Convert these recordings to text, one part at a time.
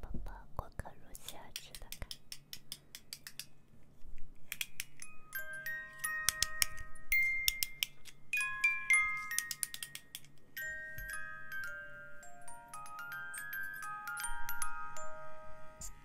宝宝，过个如期而至的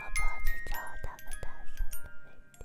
宝宝，去找大哥打声方便。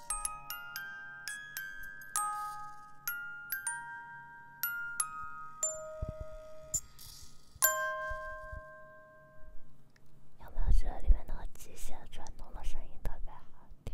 有没有觉得里面那个机械转动的声音特别好听？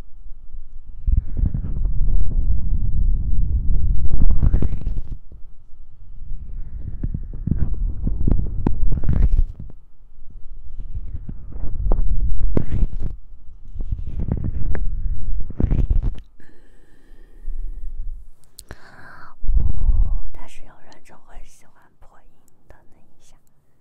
嗯，哦，但是有人就会喜欢破音的那一下。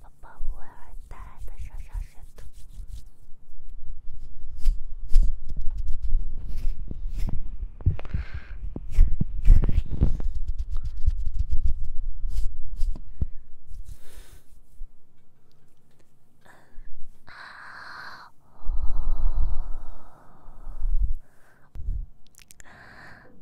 宝宝，我爱大爱的上上神童。啊！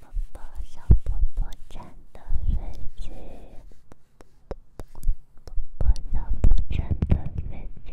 宝宝小宝宝真的睡着，宝宝小宝宝真的睡着。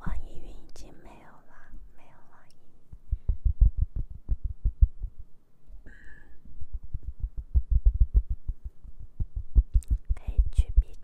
网易云已经没有了，没有网易云。H G B。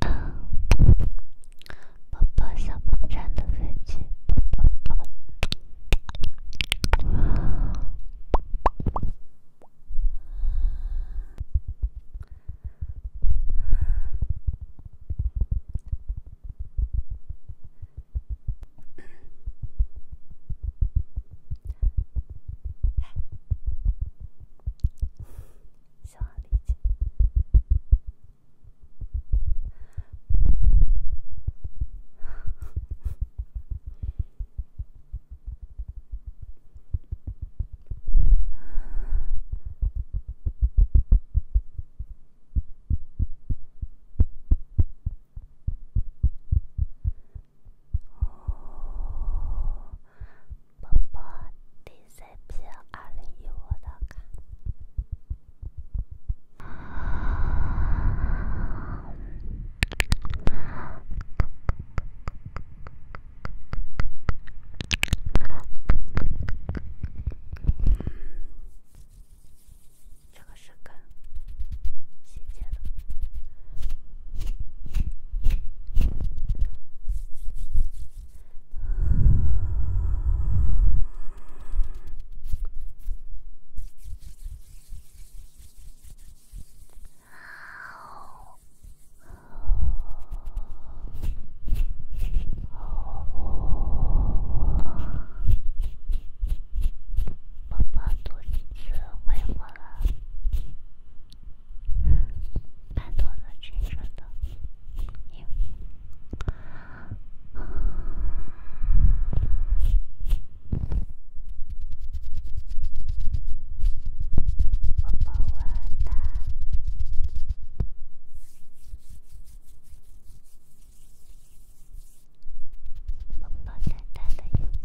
啊！宝宝，小风扇的飞机。小阿狸。宝宝，DCP 二零一五的卡，这个是更细节的。哦，宝宝肚子会饿了。半脱的、全身的，拥抱我的，拥抱大大的拥抱。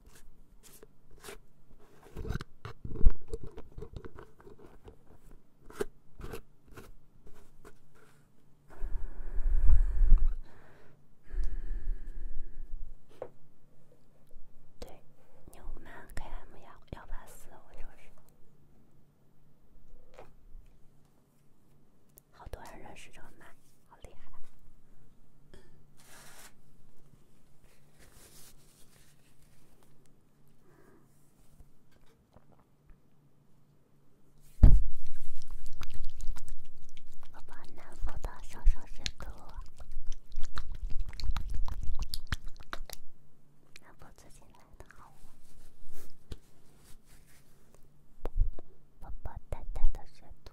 对，牛马 km 幺幺八四，我认识，好多人认识这个马，好厉害。爸爸，能否多烧烧水给我？能否自己来拿好了？爸爸，淡淡的水土。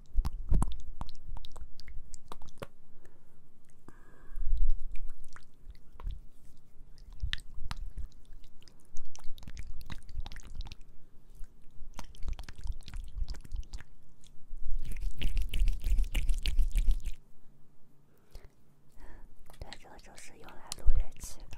对，这就是用来录乐器的。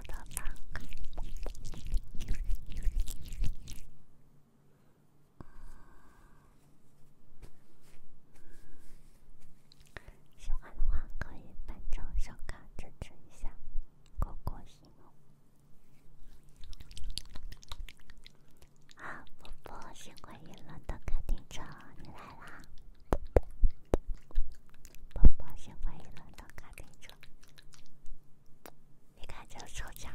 喜欢的话可以关注小卡支持一下，扣个心。好，宝宝喜欢一轮的卡丁车，你来啦！宝宝喜欢一轮的卡丁车。你看这个抽奖。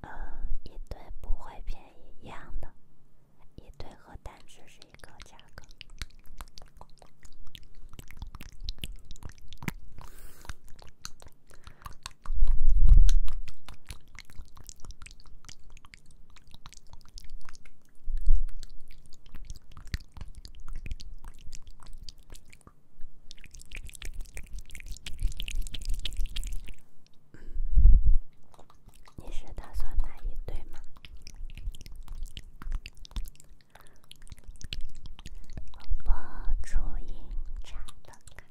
呃，一对不会便宜，一样的，一对和单词是一个价格。你是打算买一对吗？初音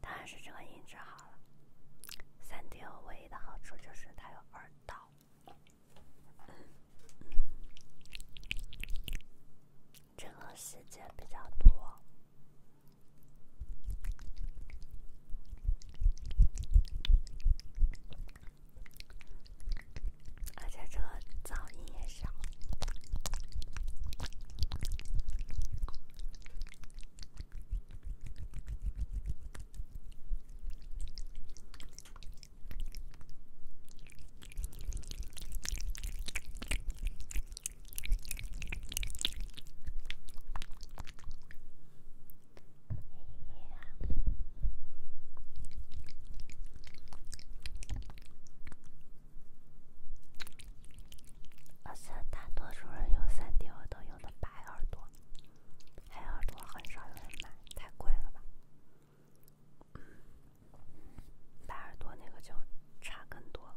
当然是这个音质好了。三 D 唯一的好处就是它有耳道，这个细节比较多。而且，这个噪音也小。而且大多数人用三 D 耳朵用的白耳朵，黑耳朵很少有人买，太贵了吧？白耳朵那个就差很多了。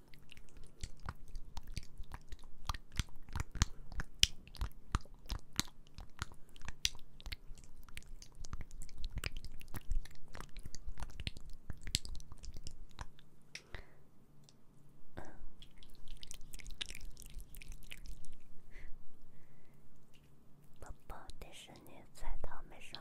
宝宝迪士尼彩陶美声。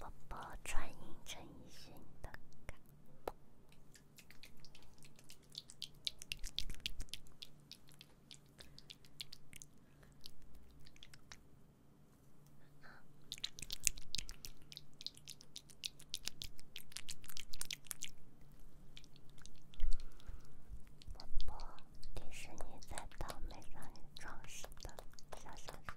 我播《转音陈奕迅》的歌。我迪士尼在倒草莓上装饰的小小水桶。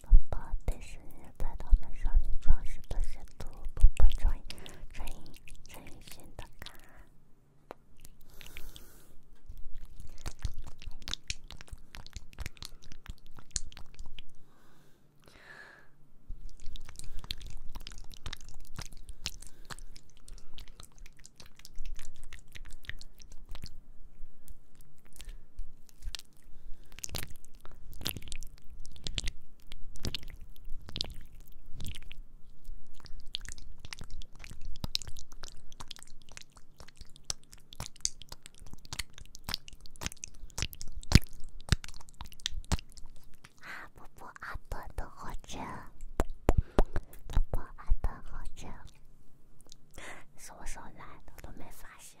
宝宝，电视在他们上衣装饰的深处，宝宝注意声音，声音，声音，听得看。啊！不不，耳朵都好听，不不，耳朵好听，双手拿的都没发现。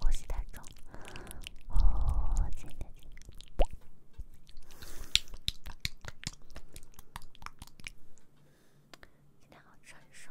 呼吸大口，哦，今天好成熟。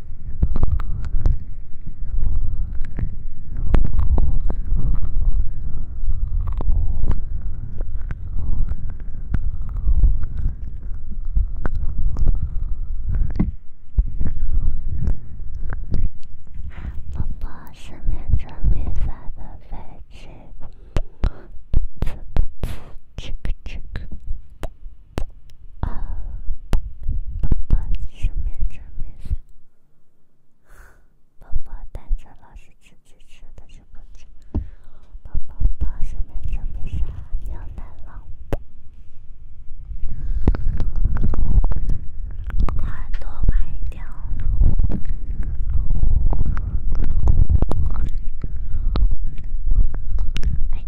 宝宝，上面准备发的微信。宝宝，宝宝，手面遮面纱。宝宝带着老师去去吃的这个菜。宝宝，宝宝，手面遮面纱，要来了。好多白条呢。哎。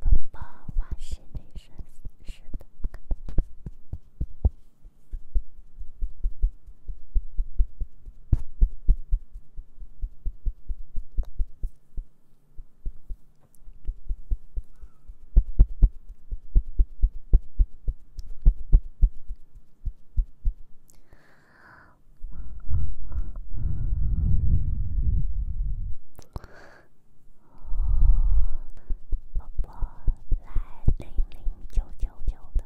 宝宝，我是李胜。是的。我拨来零零九九九的。